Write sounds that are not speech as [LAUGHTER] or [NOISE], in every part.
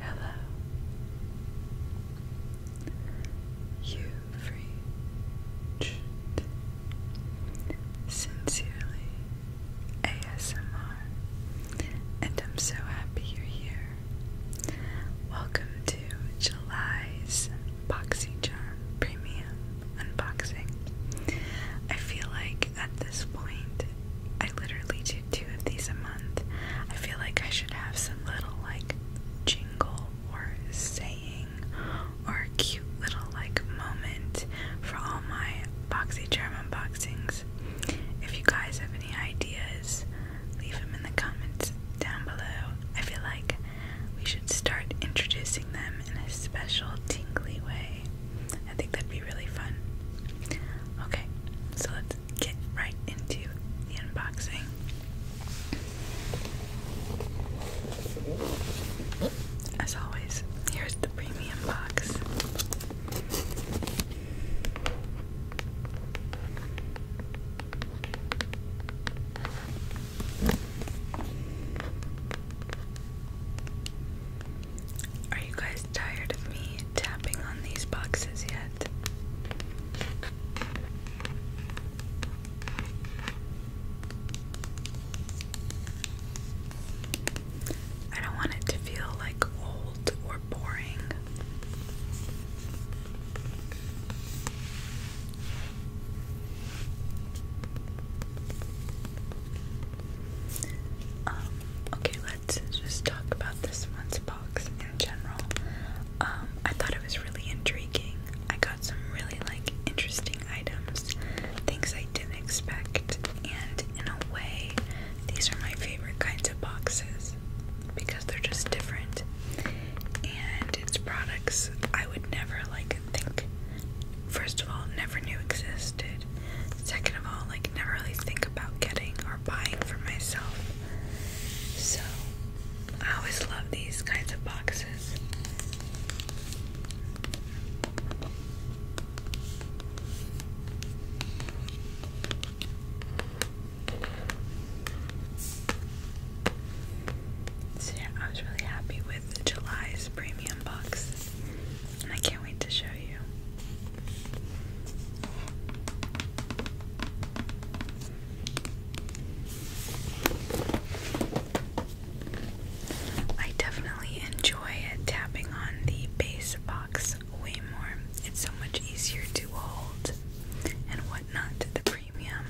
Hello. you reached Sincerely ASMR, and I'm so happy you're here. Welcome to July's Boxy Charm Premium Unboxing. I feel like at this point, I literally do two of these a month. I feel like I should have some little like jingle or saying or cute little like moment for all my BoxyCharm unboxings. If you guys have any ideas, leave them in the comments down below. I feel like we should start introducing them in a special tingly way. I think that'd be really fun. Okay, so let's get right into the unboxing. As always, here's the premium box. Are you guys tired of me tapping on these boxes yet? I don't want it to feel like old or boring. Um, okay, let's just talk about this month's box in general. Um, I thought it was really intriguing. I got some really like interesting items, things I didn't expect, and in a way, these are my favorite kinds of boxes because they're just different. And it's products I would never like think first of all never knew existed Second of all, like never really think about getting or buying for myself. So I always love these kinds of boxes. So yeah, I was really happy with July's premium box. I can't wait to show you. I definitely enjoy tapping on the base box way more. It's so much easier to hold and whatnot. The premium,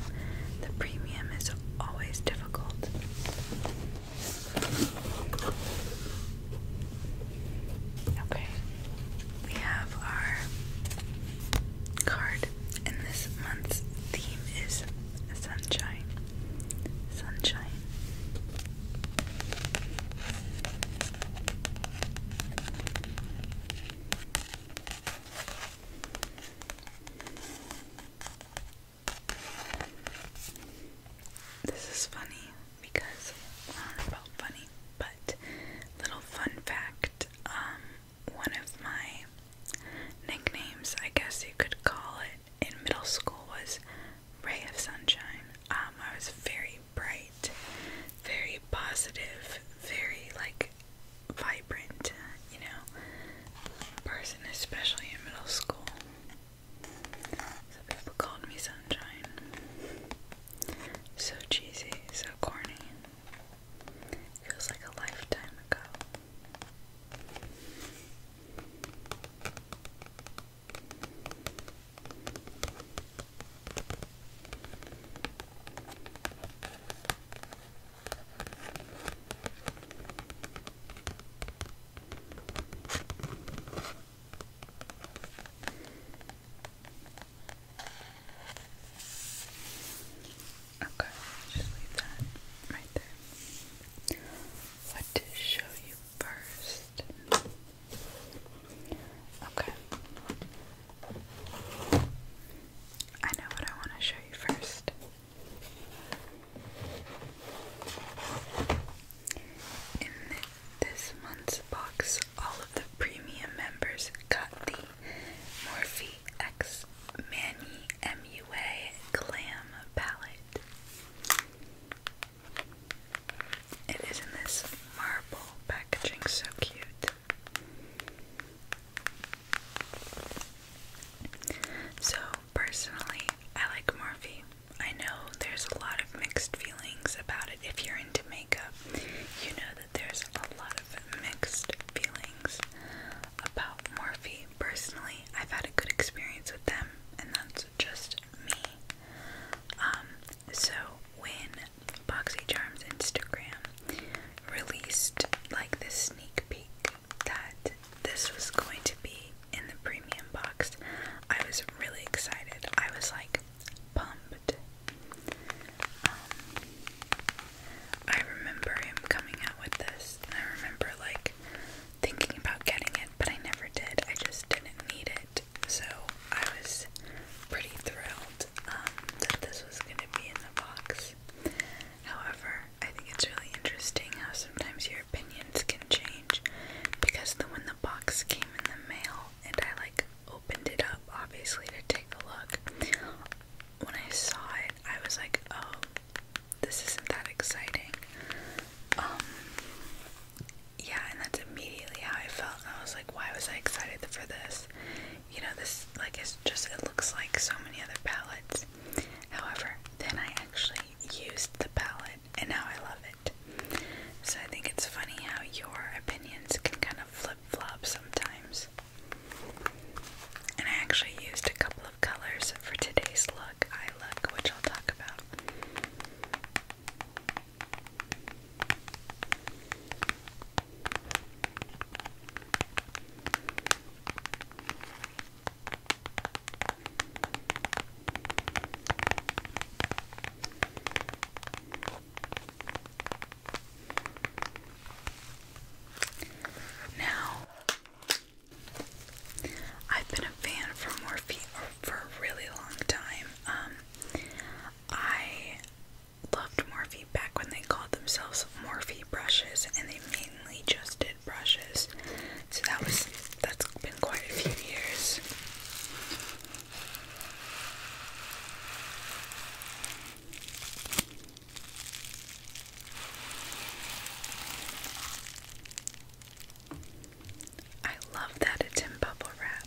the premium is always difficult. Okay, we have our card, and this month's theme is sunshine. Sunshine. This is funny because about uh, funny, but little fun fact, um, one of my nicknames, I guess you could call it, in middle school was Ray of Sunshine. Um, I was very bright, very positive, very like vibrant, you know, person, especially in middle school. So people called me Sunshine. So cheesy, so corny. Feels like a lifetime ago. Okay, just leave that right there. What to show you first? Okay. I know what I want to show you first. In this month's box, all of the premium members got the Morphe X Mani MUA Glam palette. It is in this marble packaging, so cute. So, personally, I like Morphe. I know there's a lot of mixed feelings about it. If you're into makeup, you know that there's a lot of mixed feelings about Morphe. Personally, I've had a good experience with them, and that's just me. Um, so when BoxyCharm's Instagram released like this sneak peek that this was going to be in the premium box, I was really excited. I was like, pumped. Um, I remember him coming out with this, and I remember like thinking about getting it, but I never did. I just didn't need it, so I was pretty thrilled um, that this was going to be in the box. However, I think it's really interesting how sometimes your opinions can change because the, when the box came in the mail, and I like opened it up obviously to take a look. When I saw it, I was like, oh, this isn't that exciting. Um, yeah, and that's immediately how I felt. I was like, why was I excited for this? You know, this, like, it's just, it looks like so many other palettes. However, then I actually used the palette and now I love it. So I think it's funny how your opinions can kind of flip flop sometimes. And I actually used a couple of colors for today's look, eye look, which I'll talk about. Now, I've been a fan for Morphe for a really long time. Um, I loved Morphe back when they called themselves Morphe brushes, and they mainly just did brushes. So that was that's been quite a few years. I love that it's in bubble wrap.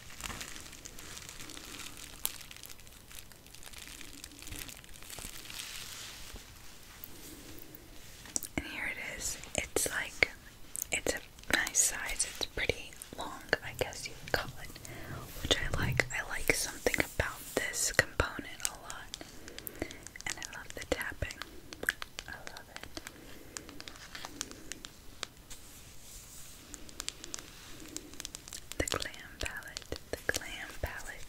And here it is. It's like it's a nice size. It's pretty long, I guess you would call it, which I like. I like something about this component a lot. And I love the tapping. I love it. The Glam Palette, the Glam Palette.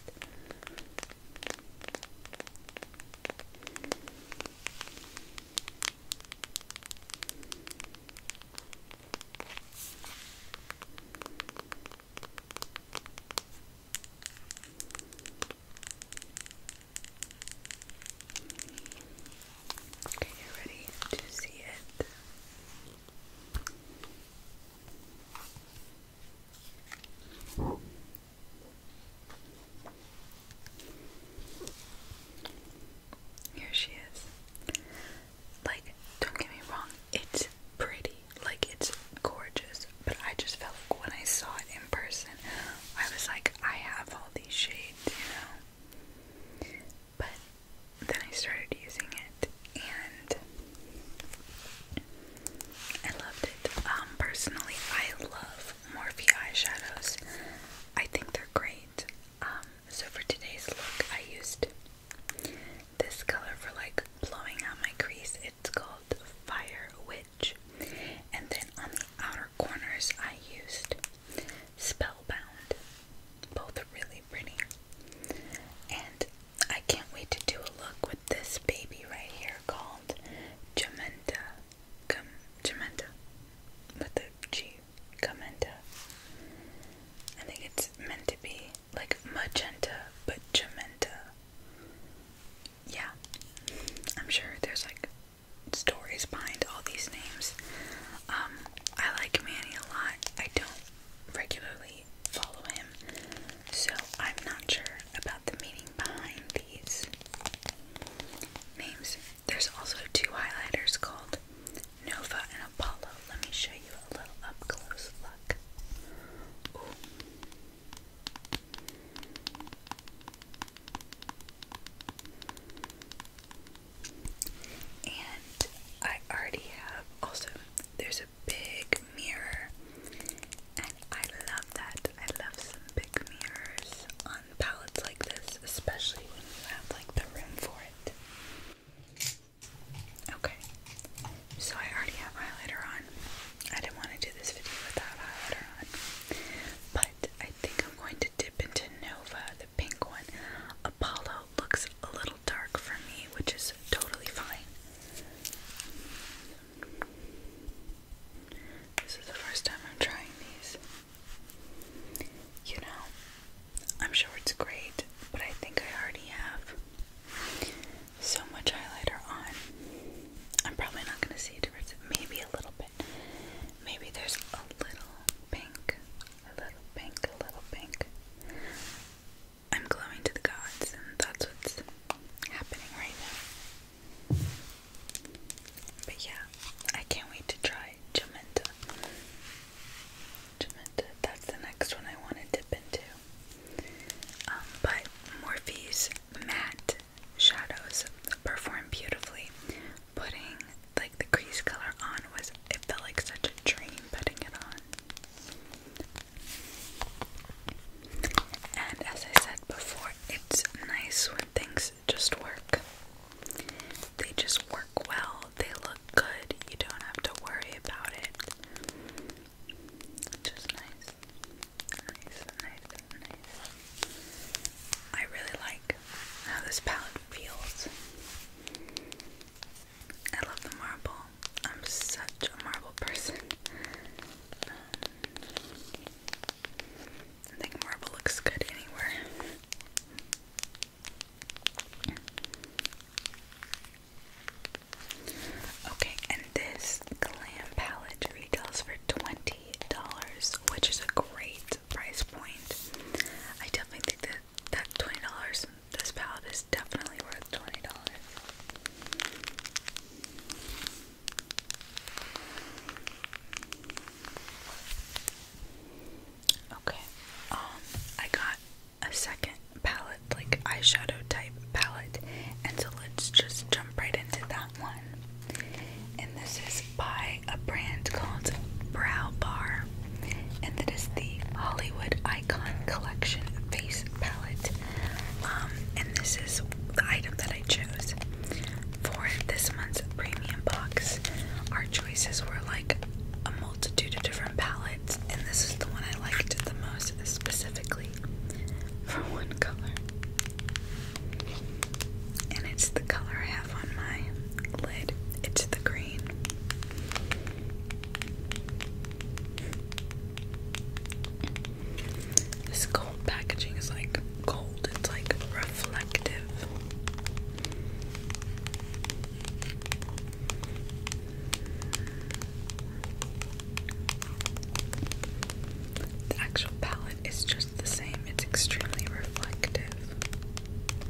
Okay, you ready to see it? Here she is. Like, don't get me wrong, it's pretty, like, it's gorgeous, but I just felt when I saw it in person, I was like, I have all these shades, you know? But then I started using it and I loved it. Um, personally, I love Morphe eyeshadows. I think they're great. Um, so for today's look, I used this color for like blowing out my crease. It's called Fire Witch. And then on the outer corners, I used Spellbound. Both really pretty. And I can't wait to do a look with this baby right here called Jamenta. Gum, Jamenta. With the G. Gamenta. I think it's meant to be like magenta, but Jamenta. Yeah. I'm sure there's like stories behind all these names. Um, I like Manny a lot. I don't regularly follow him, so I'm not sure about the meaning behind these names. There's also two highlighters called Nova and Apollo. Let me show you a little up close look. And I already have also there's a big mirror and I love that. I love some big mirrors on palettes like this, especially when you have like the room for it. Okay. So I already have highlighter on. I didn't want to do this video without highlighter on. But I think I'm going to dip into Nova, the pink one. Apollo looks a little dark for me, which is totally fine. This is the first time I'm trying these. You know, I'm sure it's great, but I think I already have so much highlighter on. I'm probably not going to see a difference. Maybe a little bit. Maybe there's a little pink, a little pink, a little pink. I'm glowing to the gods, and that's what's happening right now. But yeah, I can't wait to try Jamenta. Jamenta, that's the next one I want to dip into. Um, but Morphe's matte shadows perform beautifully, putting the the crease color on was it felt like such a dream putting it on. And as I said before, it's nice when things just work. They just work well. They look good. You don't have to worry about it. Just nice. Nice, nice, nice. I really like how this palette feels. I love the marble. I'm such a marble person. I think marble looks good anywhere. Okay, and this glam palette retails for $20, which is a great price point. I definitely think that twenty dollars. This palette is definitely worth twenty dollars. Okay. Um, I got a second palette, like eyeshadow type palette, so let's just jump right into that one. And this is by a brand called Brow Bar and that is the Hollywood Icon Collection Face Palette. Um, and this is the item that I chose for this month's premium box. Our choices were like a multitude of different palettes, and this is the one I liked the most specifically [LAUGHS] for one color. And it's the color I have on my lid. It's the green. This gold packaging is like gold, it's like reflective. The actual palette is just the same, it's extremely reflective.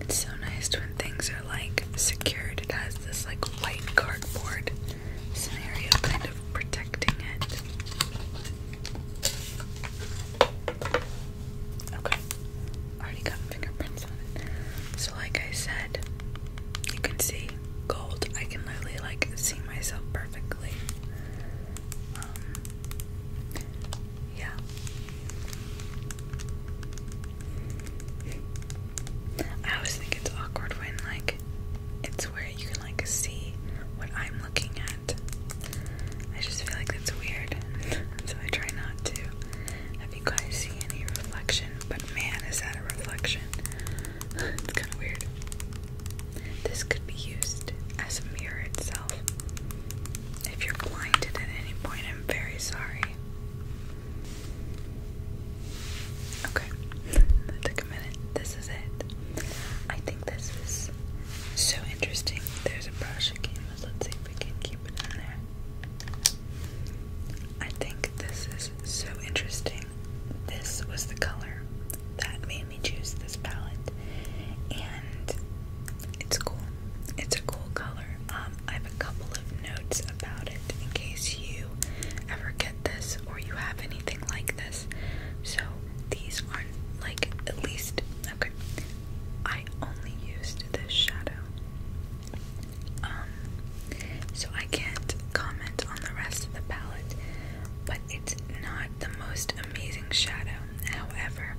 It's so nice when things are like secured. It has this like white cardboard scenario kind of protecting it. Okay. Already got fingerprints on it. So like I said, you can see gold. I can literally like see myself perfectly. Um, yeah. I always think it's awkward when like it's where you can like see what I'm looking at. I just feel like that's weird. so I try not to. Have you guys seen any reflection? But man, is that a reflection? [SIGHS] it's kinda weird. This could be used as a mirror itself. If you're blinded at any point, I'm very sorry. Okay, took a minute. This is it. I think this is so interesting. There's a brush Let's see if we can keep it in there. I think this is so interesting. This was the color that made me choose this palette, and it's cool. It's a cool color. Um, I have a couple of notes about it in case you ever get this or you have anything like this. So these aren't like at least okay. I only used this shadow. Um so I can't comment on the rest of the palette, but it's not the most amazing shadow. However,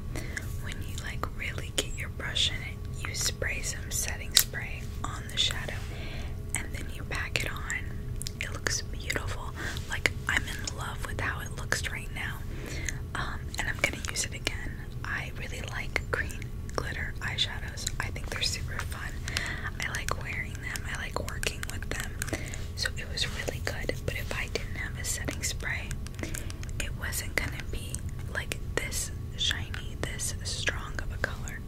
when you like really get your brush in it, you spray some setting spray on the shadow and then you pack it on. It looks beautiful. Like I'm in love with how it looks right now. Um, and I'm gonna use it again. I really like green glitter eyeshadows. I think they're super fun. I like wearing them. I like working with them. So it was really good. But if I didn't have a setting spray, it wasn't gonna be like this shiny, this strong of a color.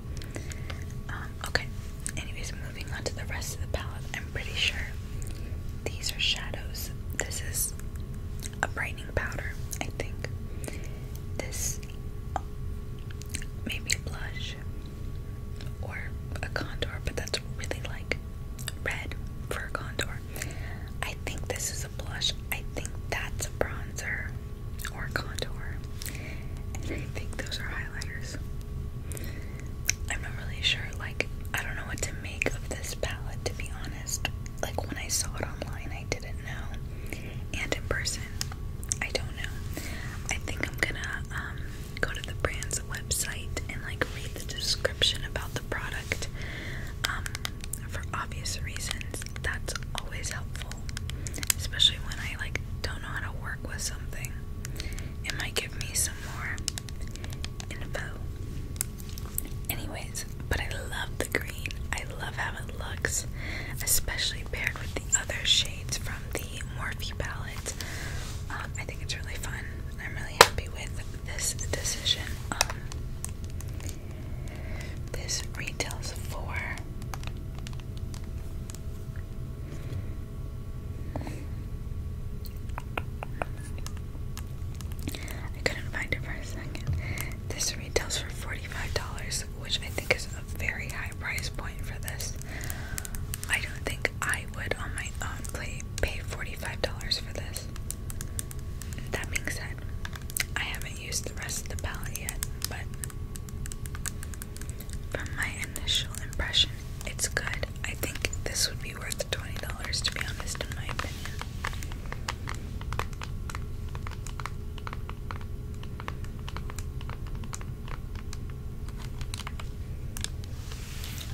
Um, okay. Anyways, moving on to the rest of the palette. I'm pretty sure these are shadows. This is a brightening powder, I think. This maybe a blush or a contour, but that's really like red for a contour. I think this is a blush. I think that's a bronzer or contour. And I think those are highlighters. I'm not really sure, like, I don't know what to make of this palette to be honest. Like, when I saw it online, I didn't know. And in person, I don't know. I think I'm gonna um, go to the brand's website and, like, read the description about the product. Um, for obvious reasons, that's always helpful especially when I like don't know how to work with something. It might give me some more info. Anyways, but I love the green. I love how it looks, especially paired with the other shades from the Morphe palette. Um, I think it's really fun. I'm really happy with this decision. Um, this retails for I couldn't find it for a second. This retails for $45, which I think is a very high price point for this. I don't think I would on my own play pay $45 for this. That being said, I have have the rest of the palette yet, but from my initial impression, it's good. I think this would be worth $20 to be honest, in my opinion.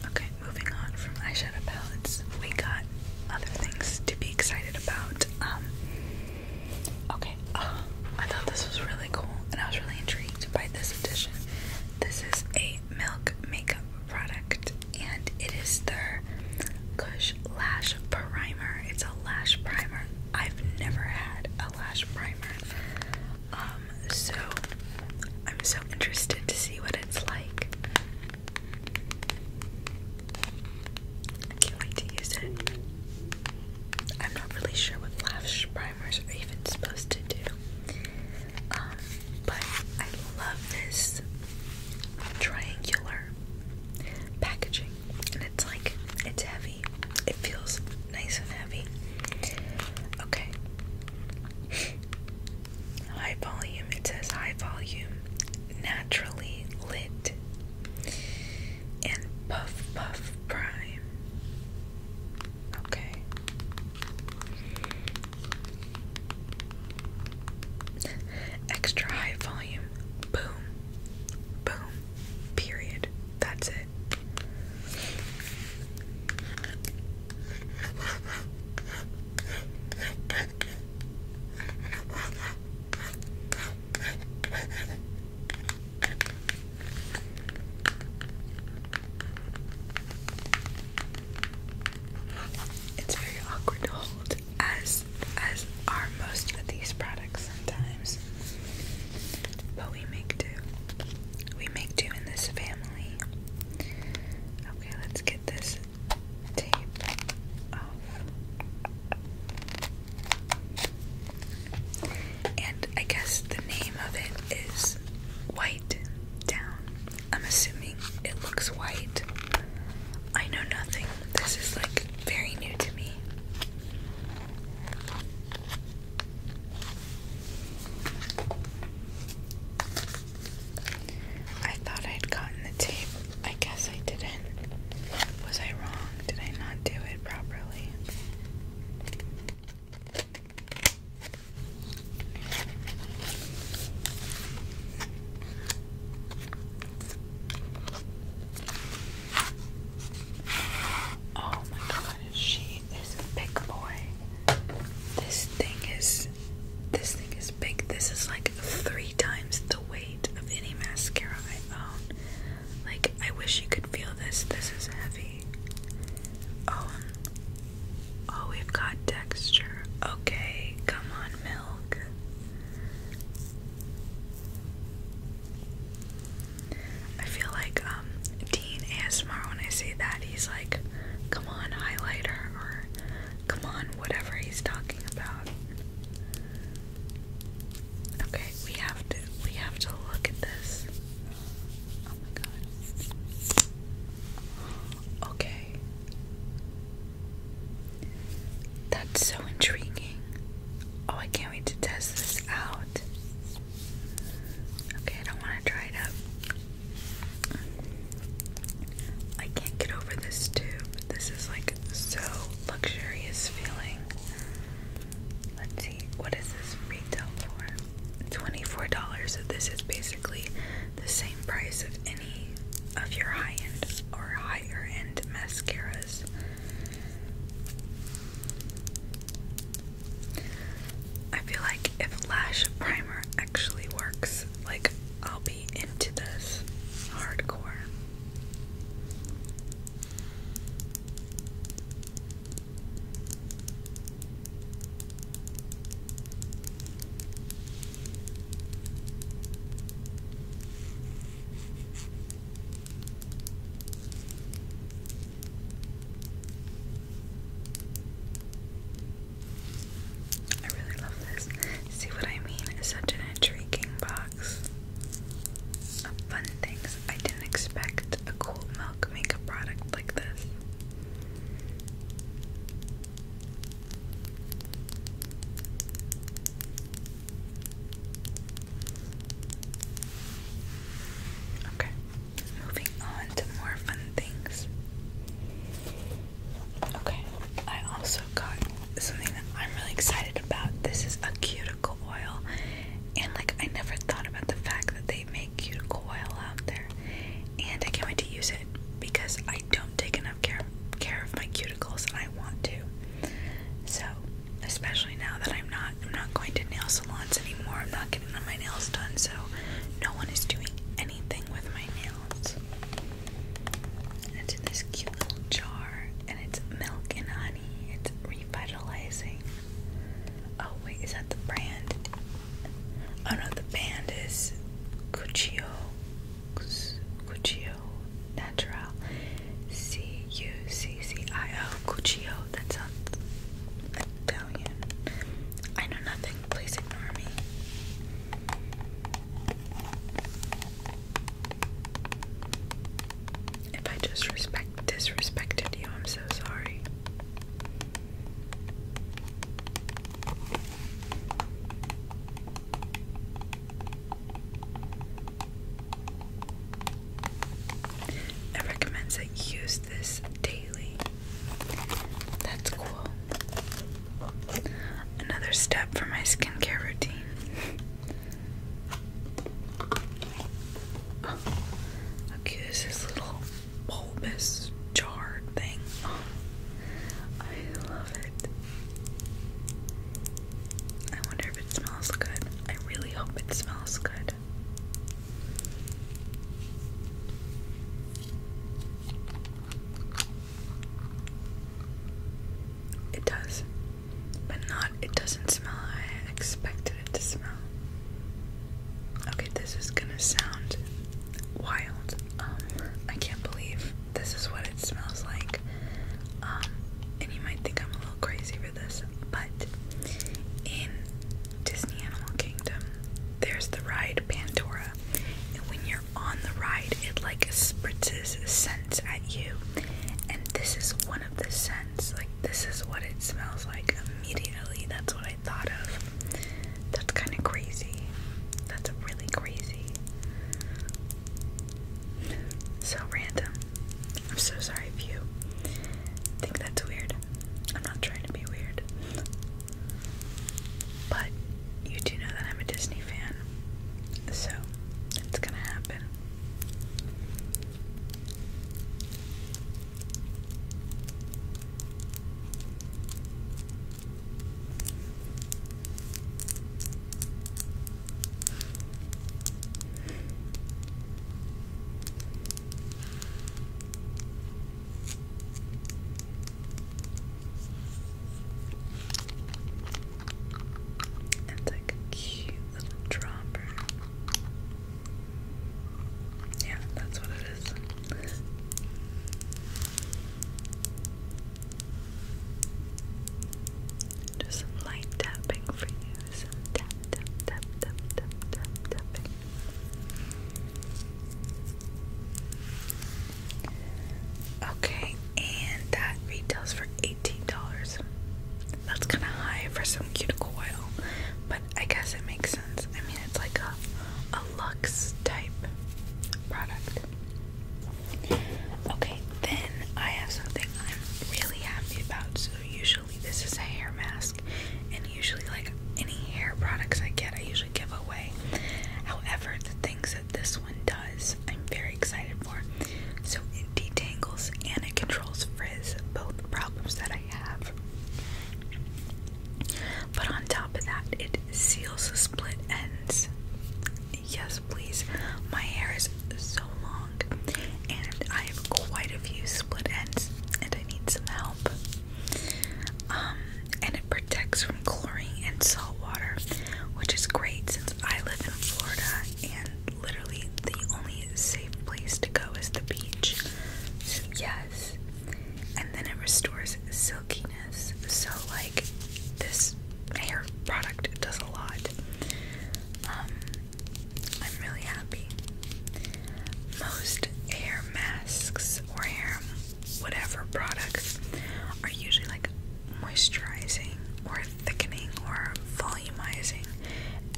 Okay, moving on from eyeshadow palettes, we got other things to be excited about. Um, Okay, uh, I thought this was really cool and I was really intrigued by this edition. This is a milk makeup product and it is the Kush Lash Primer. It's a lash primer. I've never had a lash primer. Um, so I'm so interested to see what it's like. I can't wait to use it. I'm not really sure what lash primers are even supposed to do. Um, but I love this triangular packaging. And it's like, it's heavy. It feels nice and heavy. Okay. High volume. It says high volume. Naturally lit and Puff Puff Prime. Okay. Extra high volume. Boom. Boom. Period. That's it. It's very awkward to hold, as as are most of these products sometimes. But we make do. We make do in this family. Okay, let's get this tape off. And I guess the name of it is White Down. I'm assuming it looks white. I know nothing. This is like very new to me. I thought I'd gotten the tape. I guess I didn't. Was I wrong? Did I not do it properly? Oh my god, she is a big boy. This thing is this thing is big. This is like three times the weight of any mascara I own. Like, I wish you could feel this. This is heavy. Oh, um, oh, we've got texture. Okay, come on, milk. I feel like um, Dean ASMR, when I say that, he's like, come on, highlighter, or come on, whatever he's talking about. Okay, we have to we have to look at this. Oh my god. Okay. That's so intriguing. Oh, I can't wait to test this out. Okay, I don't want to dry it up. I can't get over this tube. This is like so luxurious feeling. Let's see, what is this retail for? $24. So this is basically the same price of any of your high end or higher end mascaras. I feel like if lash primer actually works, like I'll be into this hardcore. I really love this. See what I mean? It's such an intriguing box. Fun things. I didn't expect a cool milk makeup product like this. Okay, moving on to more fun things. Okay, I also got something that I'm really excited about. This is a cuticle oil and like I never thought about the fact that they make cuticle oil out there. And I can't wait to use it because I don't take enough care care of my cuticles and I want to. So especially now that I'm not I'm not going to nail salons anymore. I'm not getting my nails done, so no one is doing anything with my nails. And it's in this cute little jar and it's milk and honey. It's revitalizing. Oh wait, is that the brand? Oh no, the band is Cuccio Cuccio Natural C U C C I O Cuccio. That sounds Italian. I know nothing. Please ignore me. If I just respect disrespected you, I'm so sorry. It recommends that you use this daily. That's cool. Another step for my skincare routine. How cute this little bulbous jar thing? I love it. I wonder if it smells good. I really hope it smells good. It does, but not, it doesn't smell I expected it to smell. Okay, this is gonna sound wild. Um, I can't believe this is what it smells like. Um, and you might think I'm a little crazy for this, but in Disney Animal Kingdom, there's the ride Pandora, and when you're on the ride, it like spritzes scents at you, and this is one of the scents. Like, this is what it smells like immediately. That's what I thought of. That's kind of crazy. That's really crazy. So random. I'm so sorry if you think that's weird. I'm not trying to be weird. But you do know that I'm a Disney fan. So it's gonna happen. It's like a cute little dropper. Yeah, that's what it is. Just some light tapping for you. Some tap, tap, tap, tap, tap, tap, tapping. Okay, and that retails for $18. That's kind of high for some cuticle oil, but I guess it makes sense. I mean, it's like a, a luxe type product. Okay, then I have something I'm really happy about. So, usually, this is a hair mask, and usually, like any hair products I get, I usually give away. However, the things that this one does, I'm very excited for. So, it detangles and it controls frizz, both problems that I have. But on top of that, it seals the split ends. Yes, please. My hair is so long, and I have quite a few split ends, and I need some help. Um, and it protects from chlorine and salt water, which is great since I live in Florida and literally the only safe place to go is the beach yes. And then it restores silkiness. So, like, this hair product does a lot. Um, I'm really happy. Most hair masks or hair whatever products are usually like moisturizing or thickening or volumizing,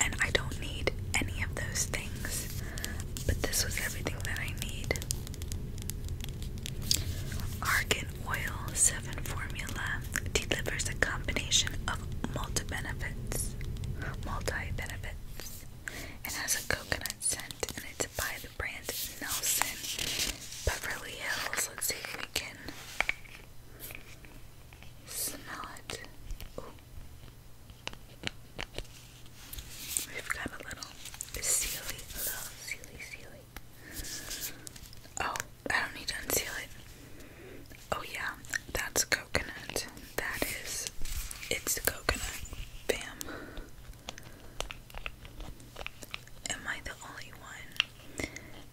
and I don't need any of those things but this was everything that I need. Argan Oil 7 formula delivers a combination of multi benefits, multi benefits. It has a coconut scent and it's by the brand Nelson Beverly Hills. Let's see if we can smell it. We've got a little sealy, a little sealy, sealy. Oh, I don't need to unseal it. Oh yeah, that's coconut. That is, it's coconut. Bam. Am I the only one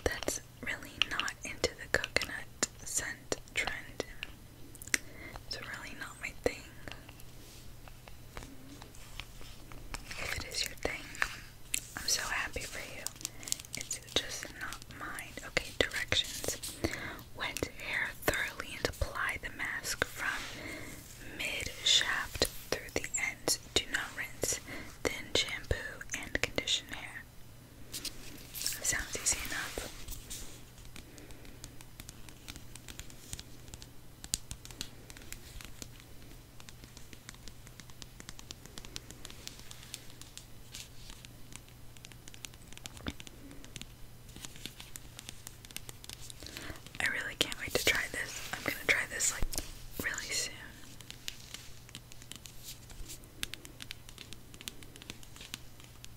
that's really not into the coconut scent trend? It's really not my thing. If it is your thing, I'm so happy for you. It's just not mine. Okay, directions. Wet hair thoroughly and apply the mask from mid shaft through the ends. Do not rinse. Then shampoo and condition hair. Sounds easy enough. I really can't wait to try this. I'm gonna try this like really soon.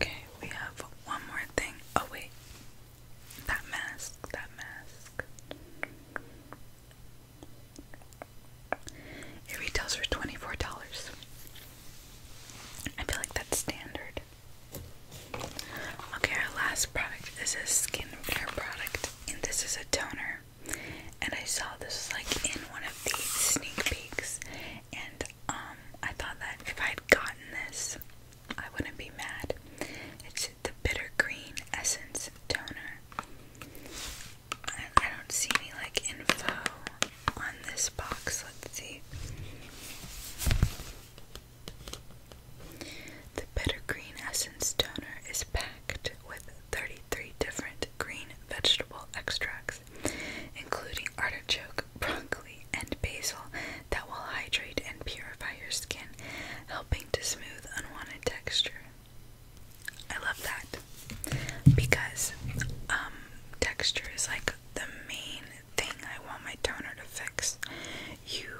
Okay, we have one more thing. Oh, wait. That mask, that mask. It retails for $24. I feel like that's standard. Okay, our last product is a care product, and this is a toner. And I saw this like in one of the sneak peeks, and um, I thought that if I would gotten this, I wouldn't be mad. It's the bitter green essence toner. I don't see any like info on this box. Let's see. The Green Essence Toner is packed with 33 different green vegetable extracts, including artichoke, broccoli, and basil, that will hydrate and purify your skin, helping to smooth unwanted texture. I love that because um, texture is like the main thing I want my toner to fix. You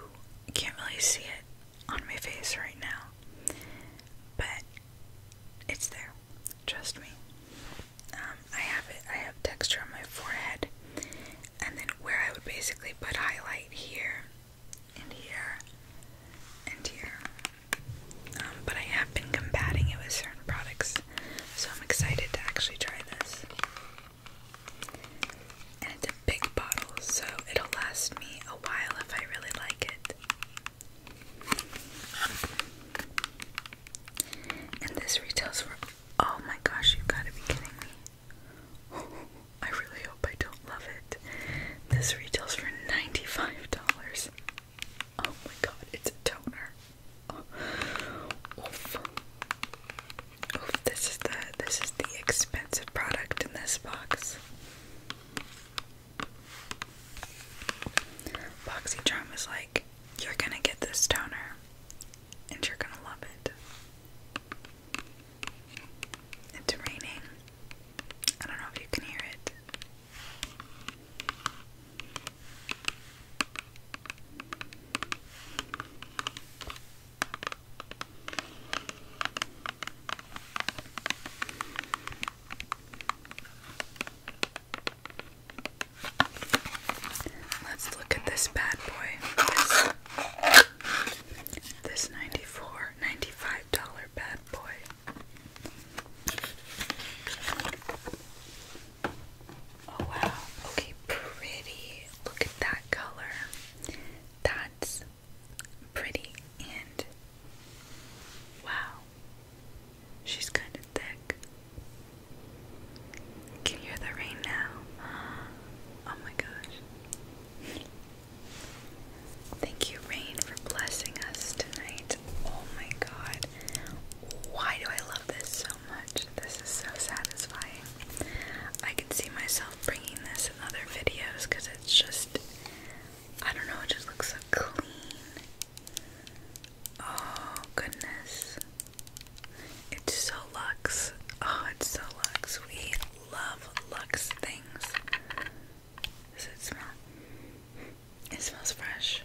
can't really see it on my face right now, but it's there. Trust me. Um, I have it. I have texture on my forehead, and then where I would basically put highlight here, and here, and here. Um, but I have been combating it with certain products, so I'm excited to actually try this. And it's a big bottle, so it'll last me a while if I really like it. And this retails for oh my gosh, you gotta be kidding me. [LAUGHS] I really hope I don't love it. This retails for $95. Oh my god, it's a toner this is the this is the expensive product in this box. Boxycharm was like, you're gonna get this toner and you're gonna love it. It's raining. I don't know if you can hear it. Let's look at this bad boy. This, this 94 $95 bad boy. Oh wow. Okay, pretty. Look at that color. That's pretty and wow. She's kind of thick. Can hear the rain now? [GASPS] Oh my gosh. Thank you, Rain, for blessing us tonight. Oh my god. Why do I love this this is so satisfying. I can see myself bringing this in other videos because it's just, I don't know, it just looks so clean. Oh, goodness. It's so luxe. Oh, it's so lux. We love lux things. Does it smell? It smells fresh.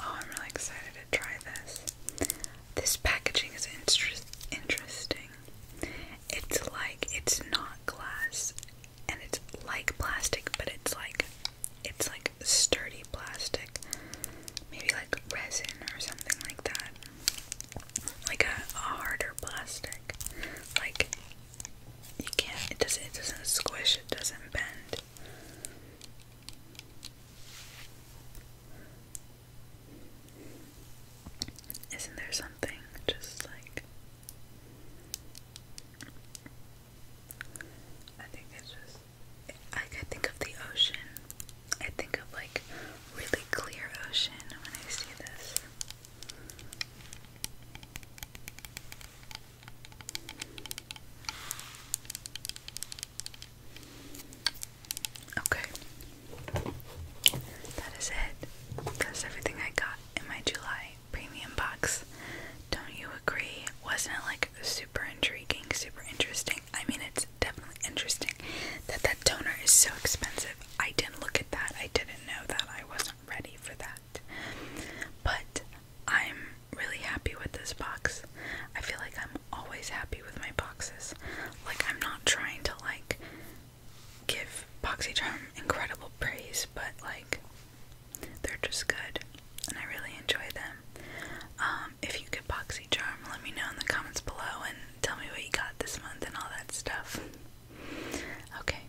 Oh, I'm really excited to try this. This packaging is interesting. It's like it's not glass and it's like plastic, but it's like it's like sturdy plastic. Maybe like resin or something like that. Like a harder plastic. Like you can't it doesn't it doesn't squish, it doesn't bend. Isn't there something just like I think it's just I think of the ocean. I think of like really clear ocean when I see this. Okay. That is it. That's everything I got in my July premium box. Don't you agree? Wasn't it like super intriguing, super interesting? I mean, it's definitely interesting that that toner is so expensive. I didn't look at that. I didn't know that. I wasn't ready for that. But I'm really happy with this box. I feel like I'm always happy with my boxes. Like I'm not trying to like give charm incredible praise, but like they're just good and I really enjoy them. Um, if you get charm, let me know in the comments below and tell me what you got this month and all that stuff. Okay,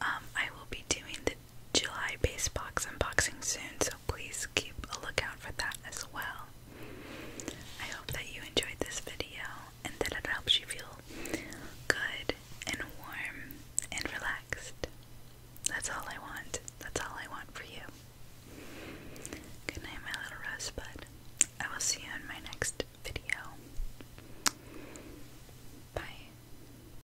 um, I will be doing the July base box unboxing soon, so please keep a lookout for that as well. I hope that you enjoyed this video and that it helps you feel good and warm and relaxed. That's all I want. That's all I want for you. Good night, my little rosebud. I will see you in my next video. Bye.